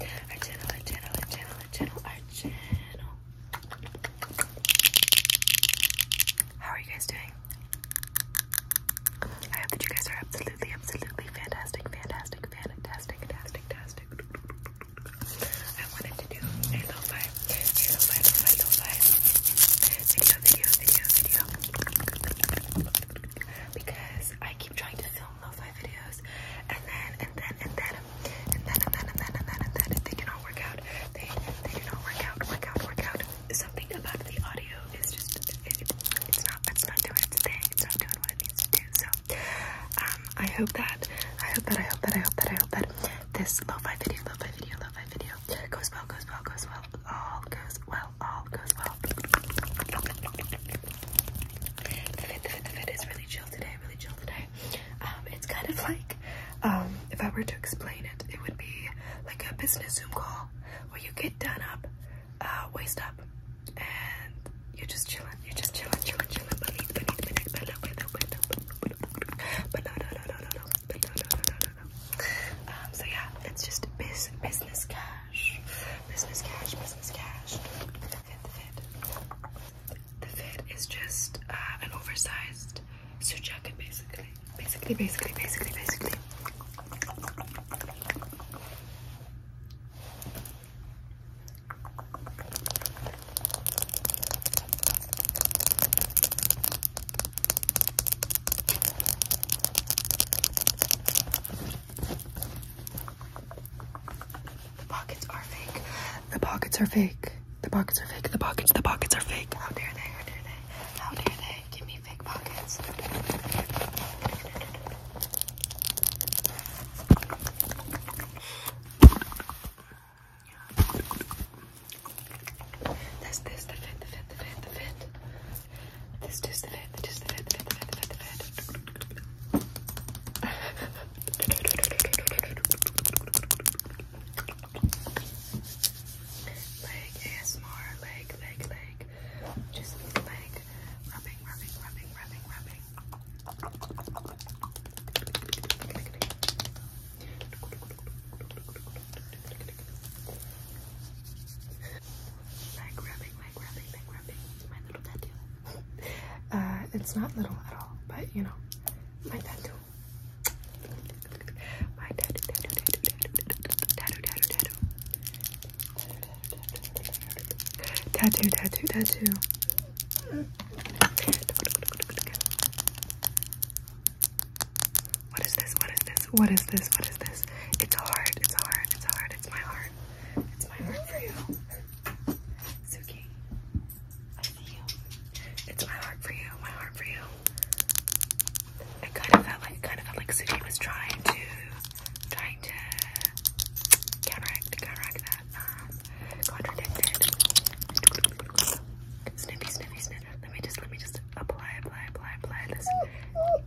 our channel, our channel, our channel, our channel, our channel. How are you guys doing? I hope that you guys are absolutely, absolutely fantastic, fantastic, fantastic, fantastic, fantastic. I wanted to do a lo five, a lo-fi, lo-fi, lo-fi video, video, video, video. Because I keep trying to film lo-fi my videos. And then, and then, and then, and then, and then, and then, and then, and then, if they do not work out, they, they do not work out, work out, work out. Something about the audio is just, it, it, it's not, it's not doing its thing. It's not doing what it needs to do. So, um, I hope that, I hope that, I hope that, I hope that, I hope that this lo-fi video, lo-fi video, lo-fi video goes well, goes well, goes well, all goes well it's kind of like, if I were to explain it, it would be like a business Zoom call where you get done up, waist up, and you're just chilling. You're just chilling, chilling, chilling. Beneath, beneath, beneath, below, below, below, below, below, Business cash, business cash. The fit, is just uh, an oversized suit jacket, basically. Basically, basically, basically, basically. The pockets are fake. The pockets are fake. The pockets are fake. The pockets, the pockets are fake. How dare they? How dare they? How dare they? Give me fake pockets. There's this, the fit, the fit, the fit, the fit. This is the fifth, it is the fifth, fifth, fifth, fifth, fifth. Leg ASMR, leg, leg, leg. Just leg. Rubbing, rubbing, rubbing, rubbing, rubbing. Leg rubbing, back rubbing, back rubbing. It's my little tattoo. uh, it's not little at all, but you know, my tattoo. My tattoo, tattoo, tattoo, tattoo, tattoo, tattoo, tattoo, tattoo, tattoo, tattoo, tattoo. What is this? What is this? this? What is this? What is this? It's hard. It's hard. It's hard. It's my heart. It's my heart for you. Suki. I see you. It's my heart for you. My heart for you. I kind of felt like kind of felt like Suki was trying to trying to counteract counteract that. Um contradicted. Snippy, snippy, snippy. Let me just let me just apply, apply, apply, apply this.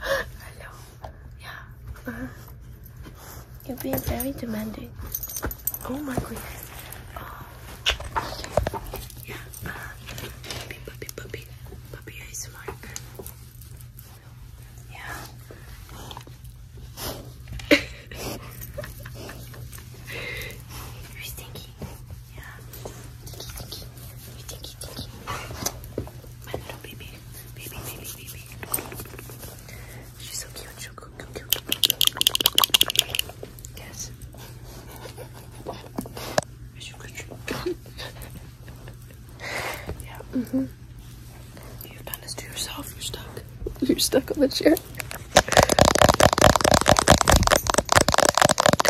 Hello. Yeah. you have been very demanding. Oh my goodness. Yeah. Puppy, puppy, puppy. Puppy is Mark. Yeah. You're stinky. Yeah. Tinky, tinky, My little baby. Baby, baby, baby. She's so cute. She's so cute. Yes. yeah. Mm hmm You've done this to yourself. You're stuck. You're stuck on the chair.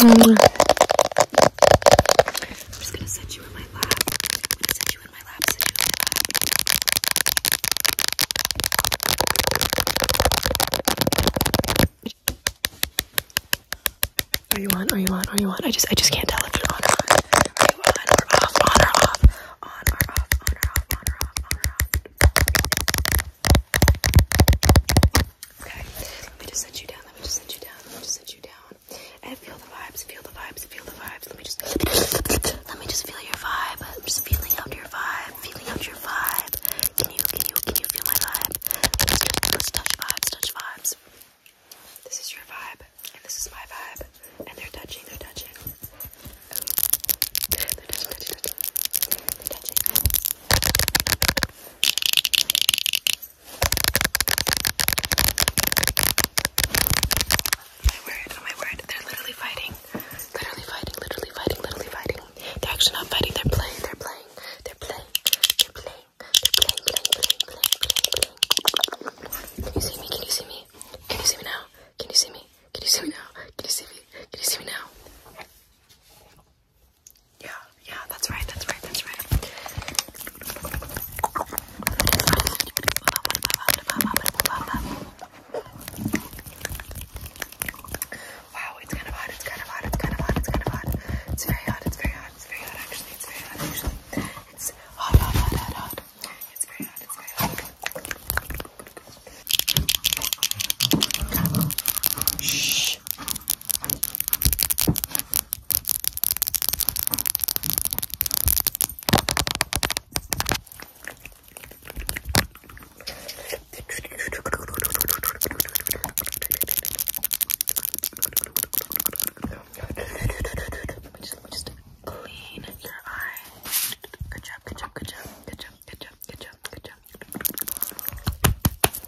Um, I'm just gonna set you in my lap. i you in my lap, set you in my lap. Are you on? Are you on? Are you on? I just I just can't tell if you're on or not. or off? or off? on or off, on or off, on or off, on or off. Okay, let me just set you down, let me just set you down, let me just set you down. And feel the vibes, feel the vibes, feel the vibes. Let me just let me just feel your vibe. I'm just feeling out your vibe, feeling out your vibe. Can you can you can you feel my vibe? Let's, let's touch vibes, touch vibes. This is your vibe, and this is my vibe and they're touching, they're touching. they're touching, they're touching, they My word, oh my word, they're literally fighting. Literally fighting, literally fighting, literally fighting. They're actually not fighting, they're playing, they're playing, they're playing, they're playing, they're playing, playing, playing, playing, playing. Can you see me? Can you see me? Can you see me now? Can you see me? Can you see me now? Can you see me? Can you see me now? Yeah, yeah, that's right, that's right, that's right. Wow, it's kind of hot, it's kind of hot, it's kind of hot, it's kind of hot. It's very hot, it's very hot, it's very hot, actually, it's very hot, actually. It's hot, hot, hot, hot, it's very hot, it's very hot. Shh. Just, just, clean your eye. Good job, good job, good job, good job, good job, good job, good job.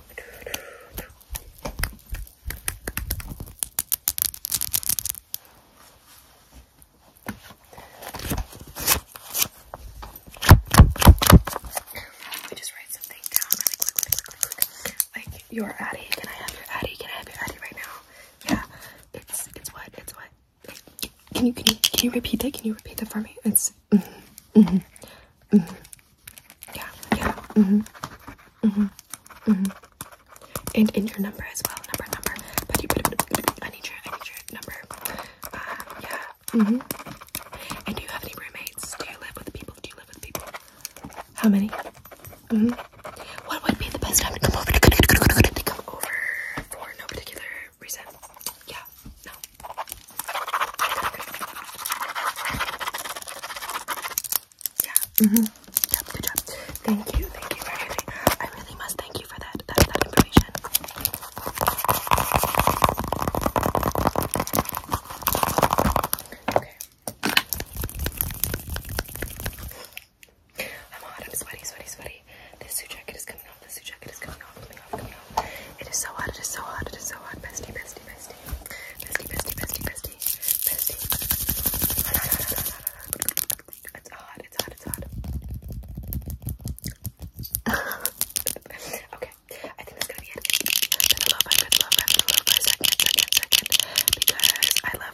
Let me just write something down really quick, quick, Addy, can I have your Addy? Can I have your Addy right now? Yeah, it's it's what it's what can you can you can you repeat that? Can you repeat that for me? It's mm -hmm, mm -hmm, mm -hmm. yeah yeah mm -hmm, mm -hmm, mm -hmm. and and your number as well number number but you put I need your I need your number um, yeah mm -hmm. and do you have any roommates? Do you live with people? Do you live with people? How many? Mm -hmm. What would be the best time to come over? come over for no particular reason. Yeah, no. Yeah. hmm good job. Thank you, thank you for everything. I really must thank you for That, that information. Okay. I'm hot. I'm sweaty, sweaty, sweaty. This suit jacket is coming off. This suit jacket is coming off, coming off, coming off. It is so hot. It is so hot. It is so hot. Bestie, bestie, bestie. Bestie, bestie, bestie, bestie. Bestie. It's hot. It's hot. It's hot. okay. I think that's gonna be it. But I love my good love. I love my second, second, second. Because I love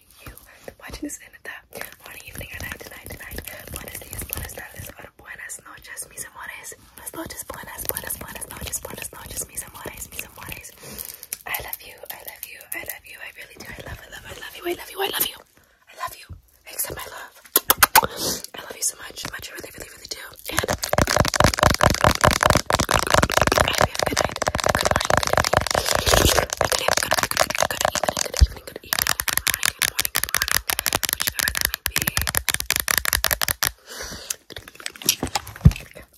you watching this and that morning, evening, or night, tonight, tonight. Buenos días, buenas tardes, or buenas noches, mis amores. Buenas noches, buenas, buenas, buenas noches, buenas noches, mis amores, mis amores. I love you, I love you, I love you, I really do. I love, I love, I love you, I love you, I love you. I love you. Except my love. I love you so much, much, I really, really, really do. good night, good morning, good evening, good, good, good, good, good, good, good, good, good, good, good, good, good evening,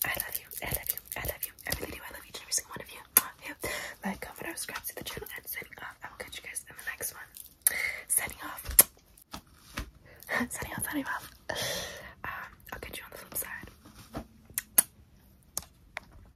I love you, I love you, I love you, I I love each and every single one of you. Like, comment, subscribe to the channel, and signing off. I will catch you guys in the next one. Signing off. signing off, signing off. Um, I'll catch you on the flip side.